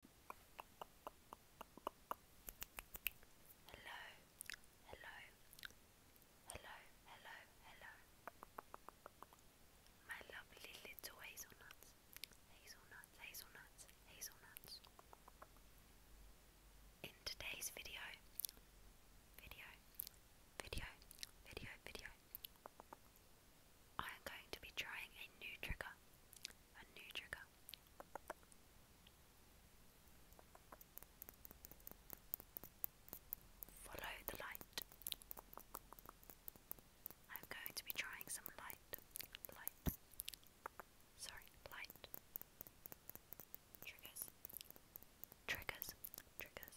Hello, hello, hello, hello, hello. My lovely little hazelnuts, hazelnuts, hazelnuts, hazelnuts. In today's video, video, video, video, video, I am going to be trying a new trigger. A new trigger. Follow the light. I'm going to be trying some light. Light. Sorry, light. Triggers. Triggers. Triggers.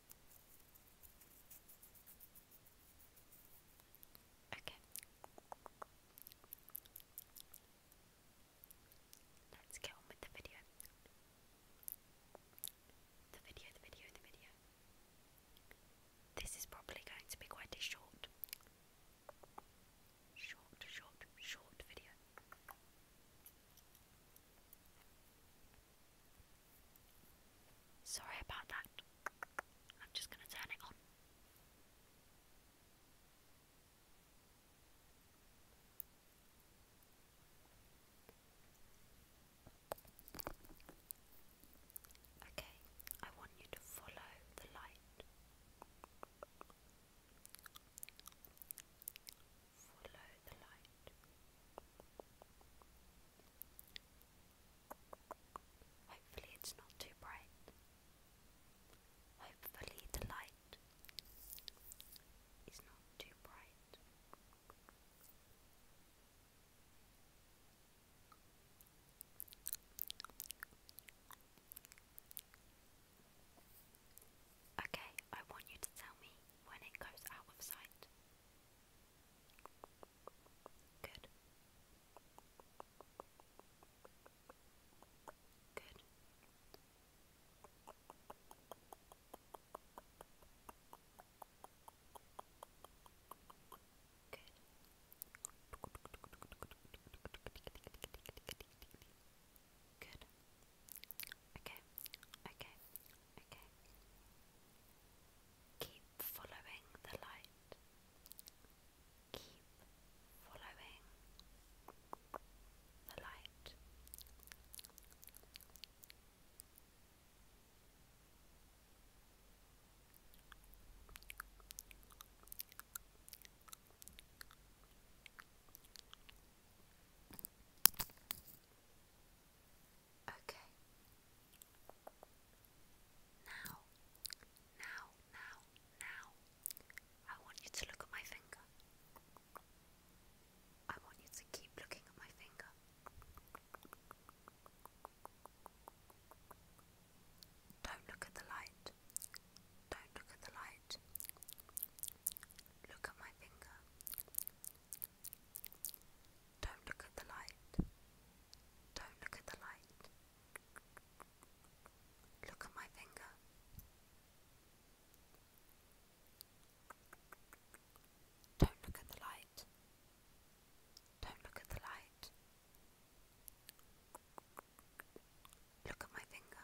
Okay. Let's get on with the video. The video, the video, the video. This is probably going to be quite a short, short, short, short video. Sorry about that. I'm just going to turn it on. Okay, I want you to follow the light. Follow the light. Hopefully, it's not too bright. Hopefully, the light is not too bright. Okay, I want you to tell me when it goes out of sight. Good. Good. Good. Good. Okay. Okay. Okay. Keep following the light. Keep following the light. Okay. Now, now, now, now, I want you to look at my finger. I want you to keep looking at my finger. Don't look at the light. Don't look at the light. Look at my finger. Don't look at the light. Don't look at the light. Look at my finger. Don't look at the light. Don't look at the light. Look at my finger.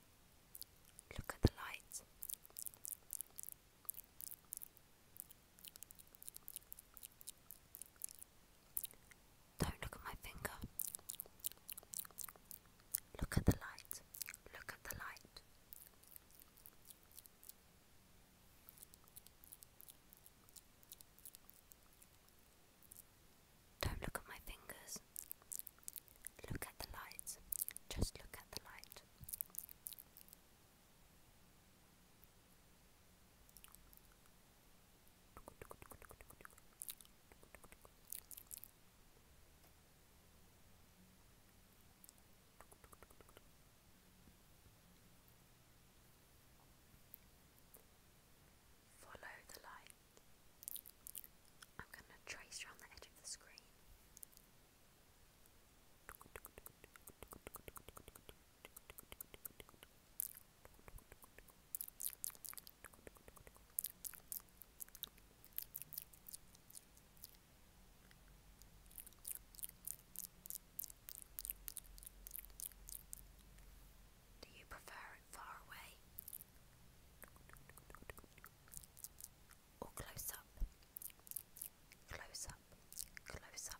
Look at the lights. Don't look at my finger. Look at the light. Look at the light. Don't look at my fingers. Look at the light. Just look at the light. Follow the light. I'm going to trace around the edge of the screen. Do you prefer it far away or close up? Close up, close up.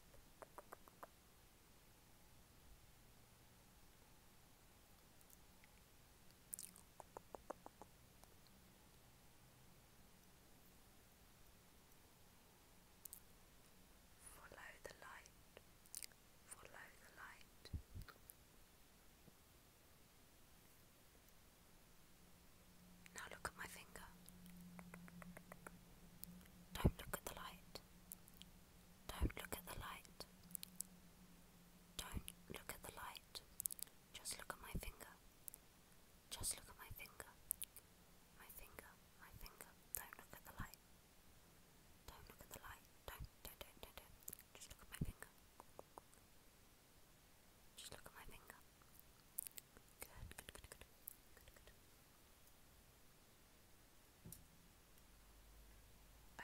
Follow the light, follow the light, now look at my finger. Don't look at the light. Don't look at the light. Don't look at the light. Just look at my finger. Just look at my finger. My finger, my finger. Don't look at the light. Don't look at the light. Don't, don't, don't, don't, don't. Just look at my finger. Just look at my finger. Good, good, good, good. Good, good.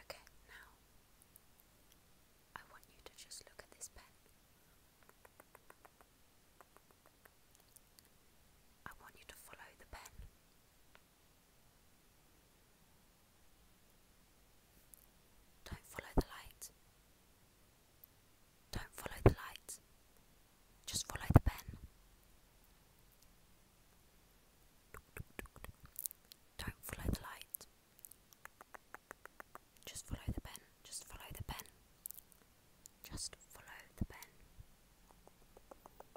Okay, now I want you to just look at this pen. I want you to follow the pen. Don't follow the light. Don't follow the light. Just follow the pen. Don't follow the light. Just follow the pen. Just follow the pen. Just follow the pen.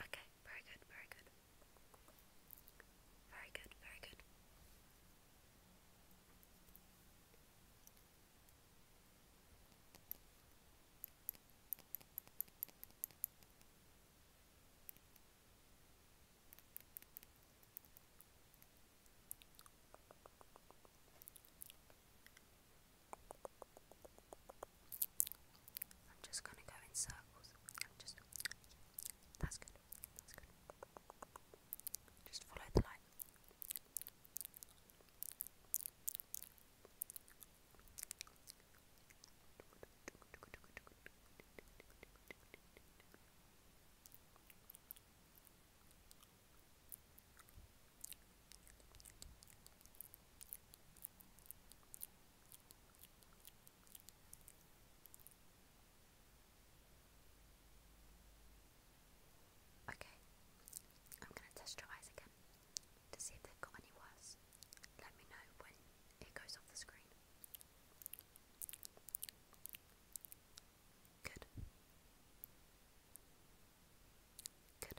Okay, very good, very good. Very good, very good. I'm just gonna go in circles. that's good. That's good. Just follow the light. Okay, I'm going to test your eyes again to see if they've got any worse. Let me know when it goes off the screen. Good. Good.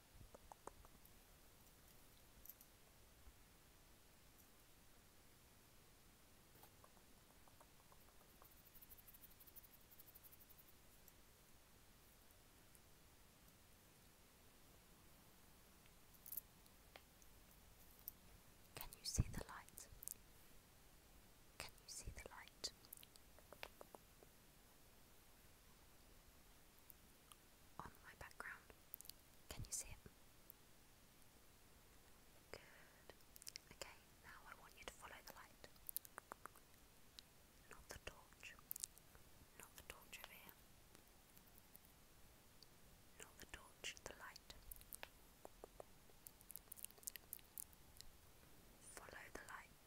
Can you see the light? Can you see the light? On my background. Can you see it? Good. Okay, now I want you to follow the light. Not the torch. Not the torch over here. Not the torch, the light. Follow the light.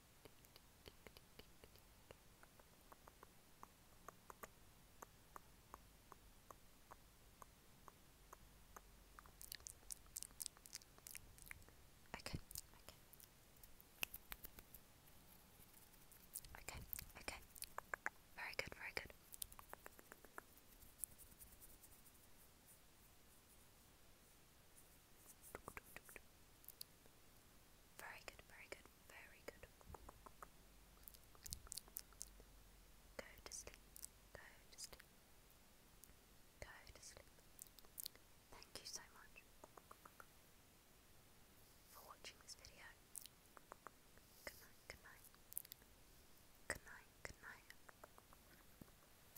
Okay, okay, okay. Very good, very good. Very good, very good, very good. Go to sleep, go to sleep, go to sleep. Thank you so much for watching this video. Good night, good night, good night, good night.